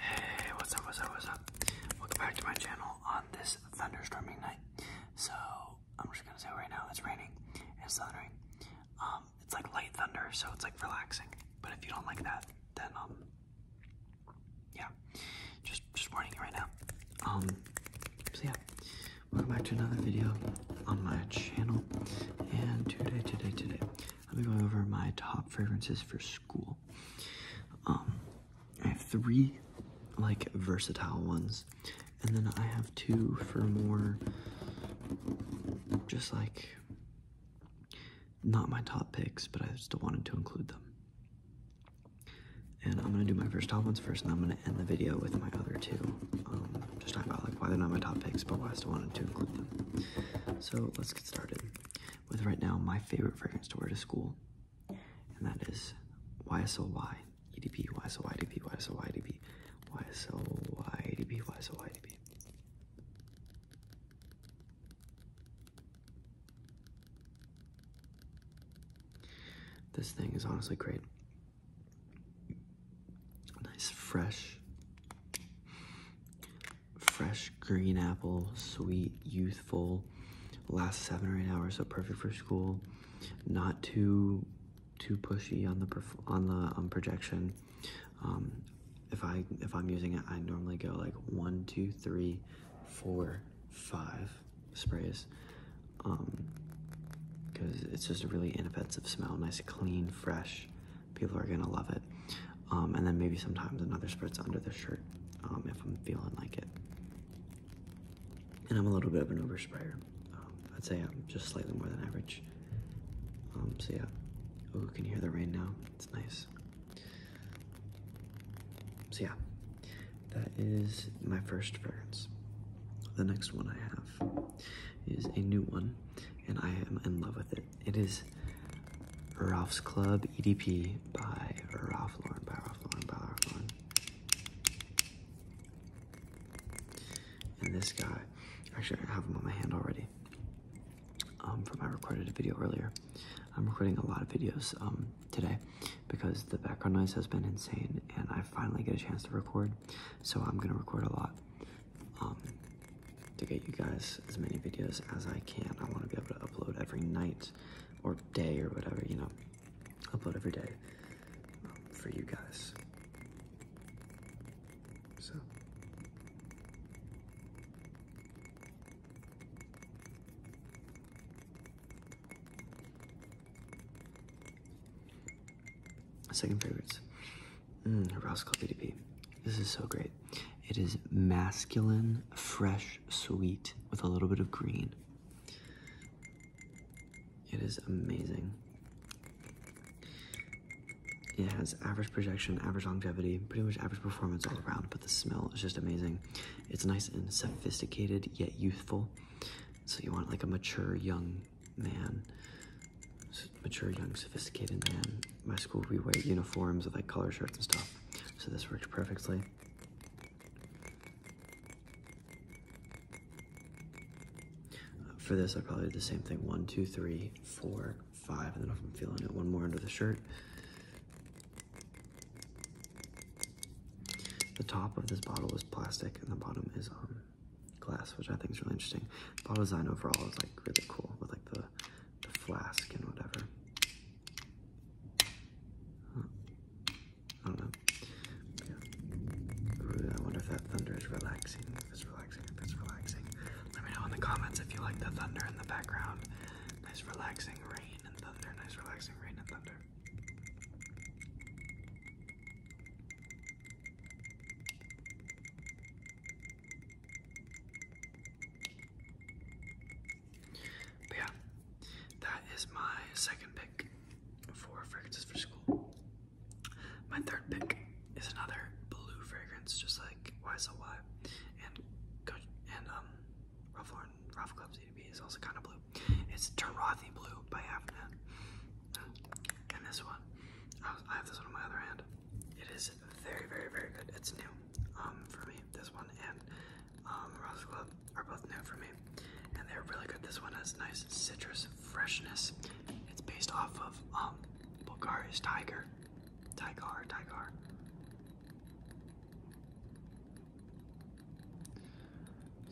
Hey, what's up, what's up, what's up? Welcome back to my channel on this thunderstorming night. So, I'm just gonna say right now it's raining, it's thundering. Um, it's like light thunder, so it's like relaxing. But if you don't like that, then um yeah. Just just warning you right now. Um so yeah. Welcome back to another video on my channel. And today, today, today, I'll be going over my top fragrances for school. Um, I have three like versatile ones, and then I have two for more just like not my top picks, but I still wanted to include them. And I'm gonna do my first top ones first, and I'm gonna end the video with my other two. Um, just talking about like why they're not my top picks, but why I still wanted to include them. So let's get started with right now my favorite fragrance to wear to school, and that is YSLY, EDP, YSLYDP, YSLYDP, YSLYDP, YSLYDP. This thing is honestly great. Nice, fresh, fresh green apple, sweet, youthful, Last seven or eight hours, so perfect for school. Not too too pushy on the on the um, projection. Um, if I if I'm using it, I normally go like one, two, three, four, five sprays. Um, because it's just a really inoffensive smell, nice, clean, fresh people are gonna love it. Um, and then maybe sometimes another spritz under the shirt um, if I'm feeling like it. And I'm a little bit of an oversprayer. Um, I'd say I'm just slightly more than average. Um, so yeah. Ooh, can hear the rain now? It's nice. So yeah, that is my first fragrance. The next one I have is a new one, and I am in love with it. It is Ralph's Club EDP by Ralph Lauren, by Ralph Lauren, by Ralph Lauren. And this guy, actually I have him on my hand already um, from I recorded a video earlier. I'm recording a lot of videos um, today because the background noise has been insane and I finally get a chance to record. So I'm gonna record a lot. Um, to get you guys as many videos as I can. I want to be able to upload every night or day or whatever, you know, upload every day um, for you guys. So. Second favorites. Mm, Rascal DDP. This is so great. It is masculine, fresh, sweet, with a little bit of green. It is amazing. It has average projection, average longevity, pretty much average performance all around, but the smell is just amazing. It's nice and sophisticated, yet youthful. So you want like a mature young man, mature young sophisticated man my school we white uniforms with like color shirts and stuff. So this works perfectly. for this, I probably did the same thing. One, two, three, four, five, and then if I'm feeling it, one more under the shirt. The top of this bottle is plastic and the bottom is um, glass, which I think is really interesting. Bottle design overall is like really cool with like the the flask and whatever. I don't know. I wonder if that thunder is relaxing. If it's relaxing, if it's relaxing. Let me know in the comments if you like the thunder in the background. Nice relaxing rain and thunder. Nice relaxing rain and thunder yeah, that is my second pick for fragrances for school. My third pick is another blue fragrance, just like YSLY and and um Ralph Lauren Ralph Club's is also kind of blue. It's Tarathi Blue by Avnet. And this one, I have this one in my other hand. It is very, very, very good. It's new um, for me. This one and um, are both new for me, and they're really good. This one has nice citrus freshness. It's based off of um, Bulgari's Tiger, Tiger, Tiger.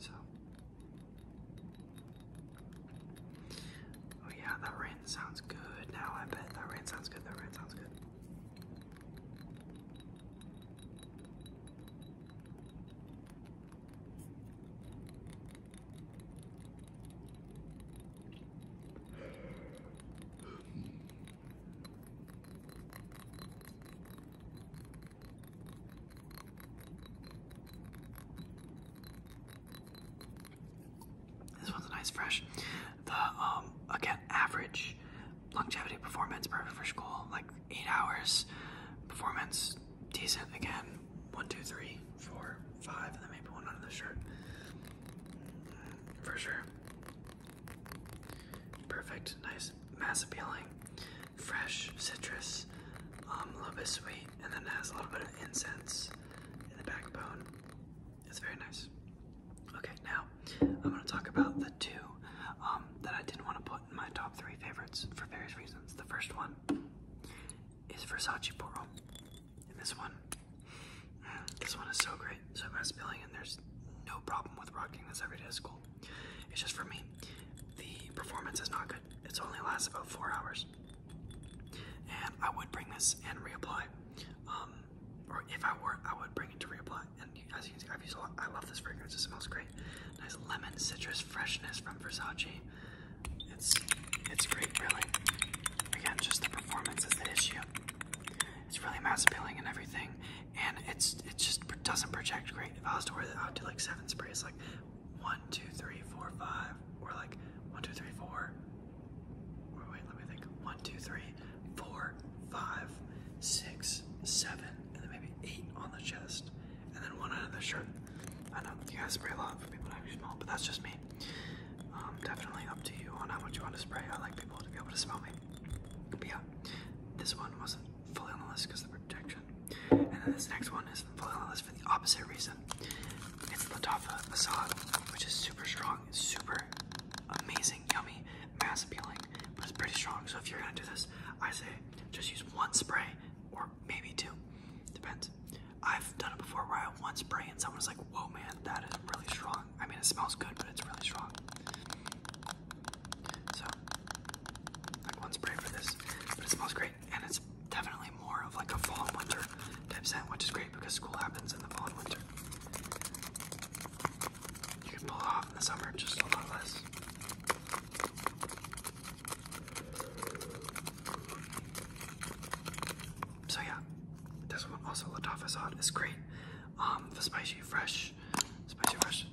So, Oh yeah, that rain sounds good now. I bet that rain sounds good. That rain sounds good. This one's a nice fresh. The um again average longevity performance perfect for school, like eight hours. Performance decent again. One, two, three, four, five, and then maybe one under the shirt. For sure. Perfect, nice, mass appealing, fresh citrus, um, a little bit sweet, and then has a little bit of incense in the backbone. It's very nice. Okay, now I'm going to talk about the two um, that I didn't want to put in my top three favorites for various reasons. The first one is Versace Poro, and this one, mm, this one is so great. So I'm not spilling, and there's no problem with rocking this every day at school. It's just for me, the performance is not good. It only lasts about four hours. And I would bring this and reapply. Um, or if I were, I would bring it to reapply. And as you can see, i love this fragrance. It smells great. Nice lemon citrus freshness from Versace. It's it's great, really. Again, just the performance is the issue. It's really mass appealing and everything, and it's it just doesn't project great. If I was to wear that, I would do like seven sprays, like one, two, three, four, five, or like one, two, three, four, Wait, let me think. One, two, three, four, five, six, seven, and then maybe eight on the chest, and then one under the shirt. I know you guys spray a lot for people to be able to smell, but that's just me. Um, definitely up to you on how much you want to spray. I like people to be able to smell me. But yeah, this one wasn't fully on the list because of the protection. And then this next one is fully on the list for the opposite reason. It's Latafa Asad, which is super strong, super amazing, yummy, mass appealing, but it's pretty strong. So if you're gonna do this, I say just use one spray or maybe two. Depends. I've done it before where I have one spray and someone's like, whoa man, that is really strong. I mean it smells good, but it's really strong. So one spray for this, but it smells great and it's definitely more of like a fall and winter type scent, which is great because school happens in the fall and winter. You can pull it off in the summer, just a lot less. So yeah, this one also Latafazad is great. Um, the spicy fresh, spicy fresh,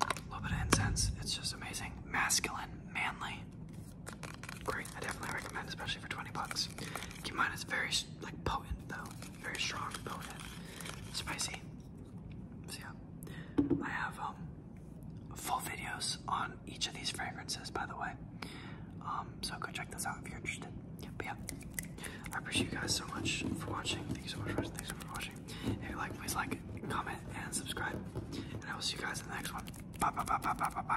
a little bit of incense. It's just amazing, masculine, manly. Great, I definitely recommend, especially for 20 bucks. Keep in mind it's very like potent though, very strong, potent, spicy. So yeah, I have um full videos on each of these fragrances, by the way. Um, so go check those out if you're interested. Yeah, I appreciate you guys so much for watching. Thank you so much for Thanks for watching. If you like, please like, comment, and subscribe. And I will see you guys in the next one. Bye bye bye bye bye bye bye.